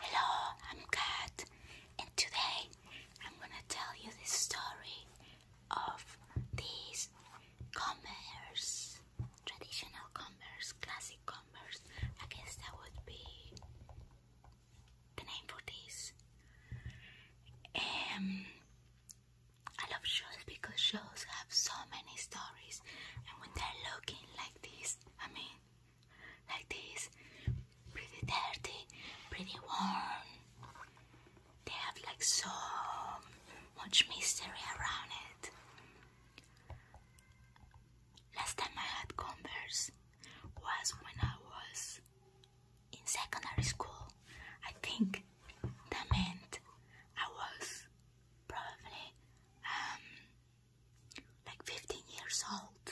Hello, I'm Kat, and today I'm gonna tell you the story of these commerce, traditional commerce, classic commerce. I guess that would be the name for this. Um, I love shows because shows have so many stories, and when they're looking like this, I mean, like this. Pretty dirty, pretty warm. They have like so much mystery around it. Last time I had Converse was when I was in secondary school. I think that meant I was probably um, like 15 years old.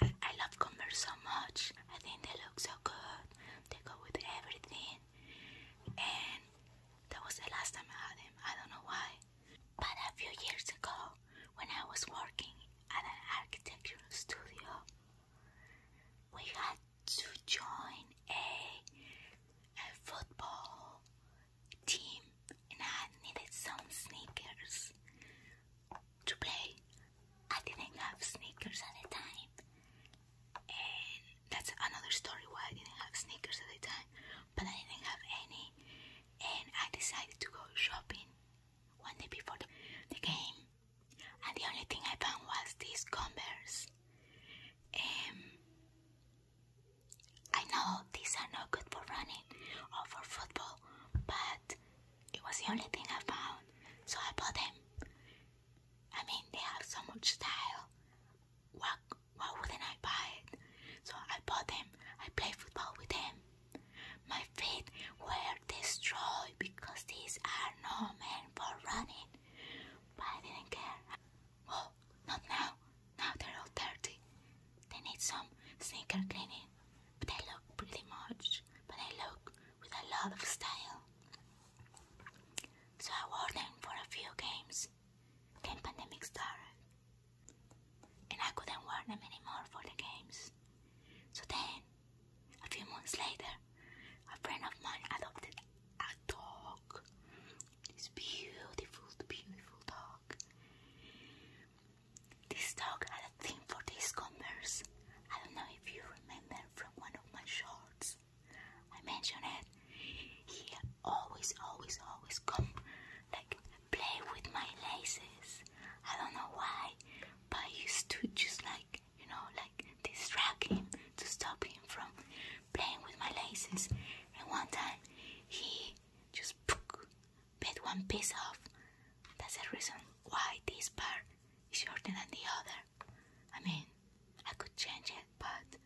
I, love Converse so much. I think they look so good. They go with everything. And that was the last time I had them. I don't know why. But a few years ago, when I was working at an architectural studio, we had to join a, a football team and I needed some sneakers to play. I didn't have sneakers at the time, and that's another story why I didn't have sneakers at the time, but I didn't have any, and I decided to go shopping one day before the, game, and the only thing I found was these Converse. Um, I know these are not good for running or for football, but it was the only thing I found, so I bought them. I mean, they have so much style. Why, why wouldn't I buy it? So I bought them. I play football with them. My feet were destroyed because these are no meant for running, but I didn't care. Oh, not now. Now they're all dirty. They need some sneaker cleaning. But they look pretty much. But they look with a lot of style. So I wore them for a few games. Then pandemic started. And I couldn't wear them anymore for the games. So then, a few months later, a friend of mine adopted a dog. This beautiful, beautiful dog. This dog had a thing for these converse. I don't know if you remember from one of my shorts. I mentioned it. He always, always, always come like play with my laces. I don't know why, but I used to just like you know like distract him to stop him from playing with my laces. And one time he just bit one piece off. That's the reason why this part is shorter than the other. I mean, I could change it, but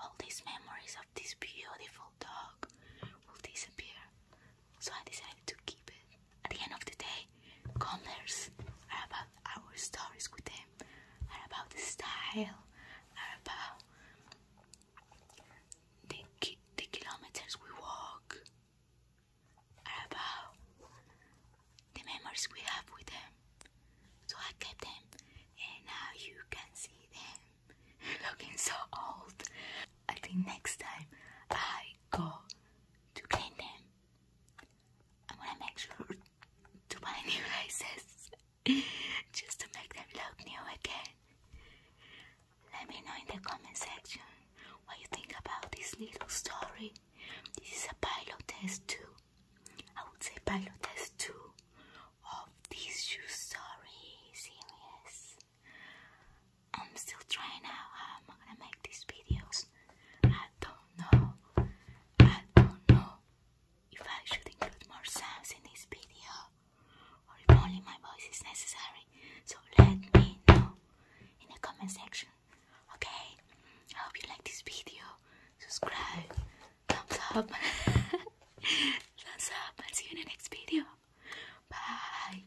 all these memories of this beautiful dog will disappear. So I decided to keep it. At the end of the day, colors are about our stories with are about the style, are about the, the kilometers we walk, are about the memories we have with them. So I kept them, and now you can see them looking so old. I think next time I go to clean them, I'm gonna make sure to buy new laces just to make them look new again. Let me know in the comment section what you think about this little story. This is a pilot test too. I would say pilot test too of this shoe story series. I'm still trying out how I'm gonna make these videos. I don't know. I don't know. If I should include more sounds in this video, or if only my voice is necessary, so let me know in the comment section. Okay, I hope you like this video. Subscribe, thumbs up, thumbs up, and see you in the next video. Bye.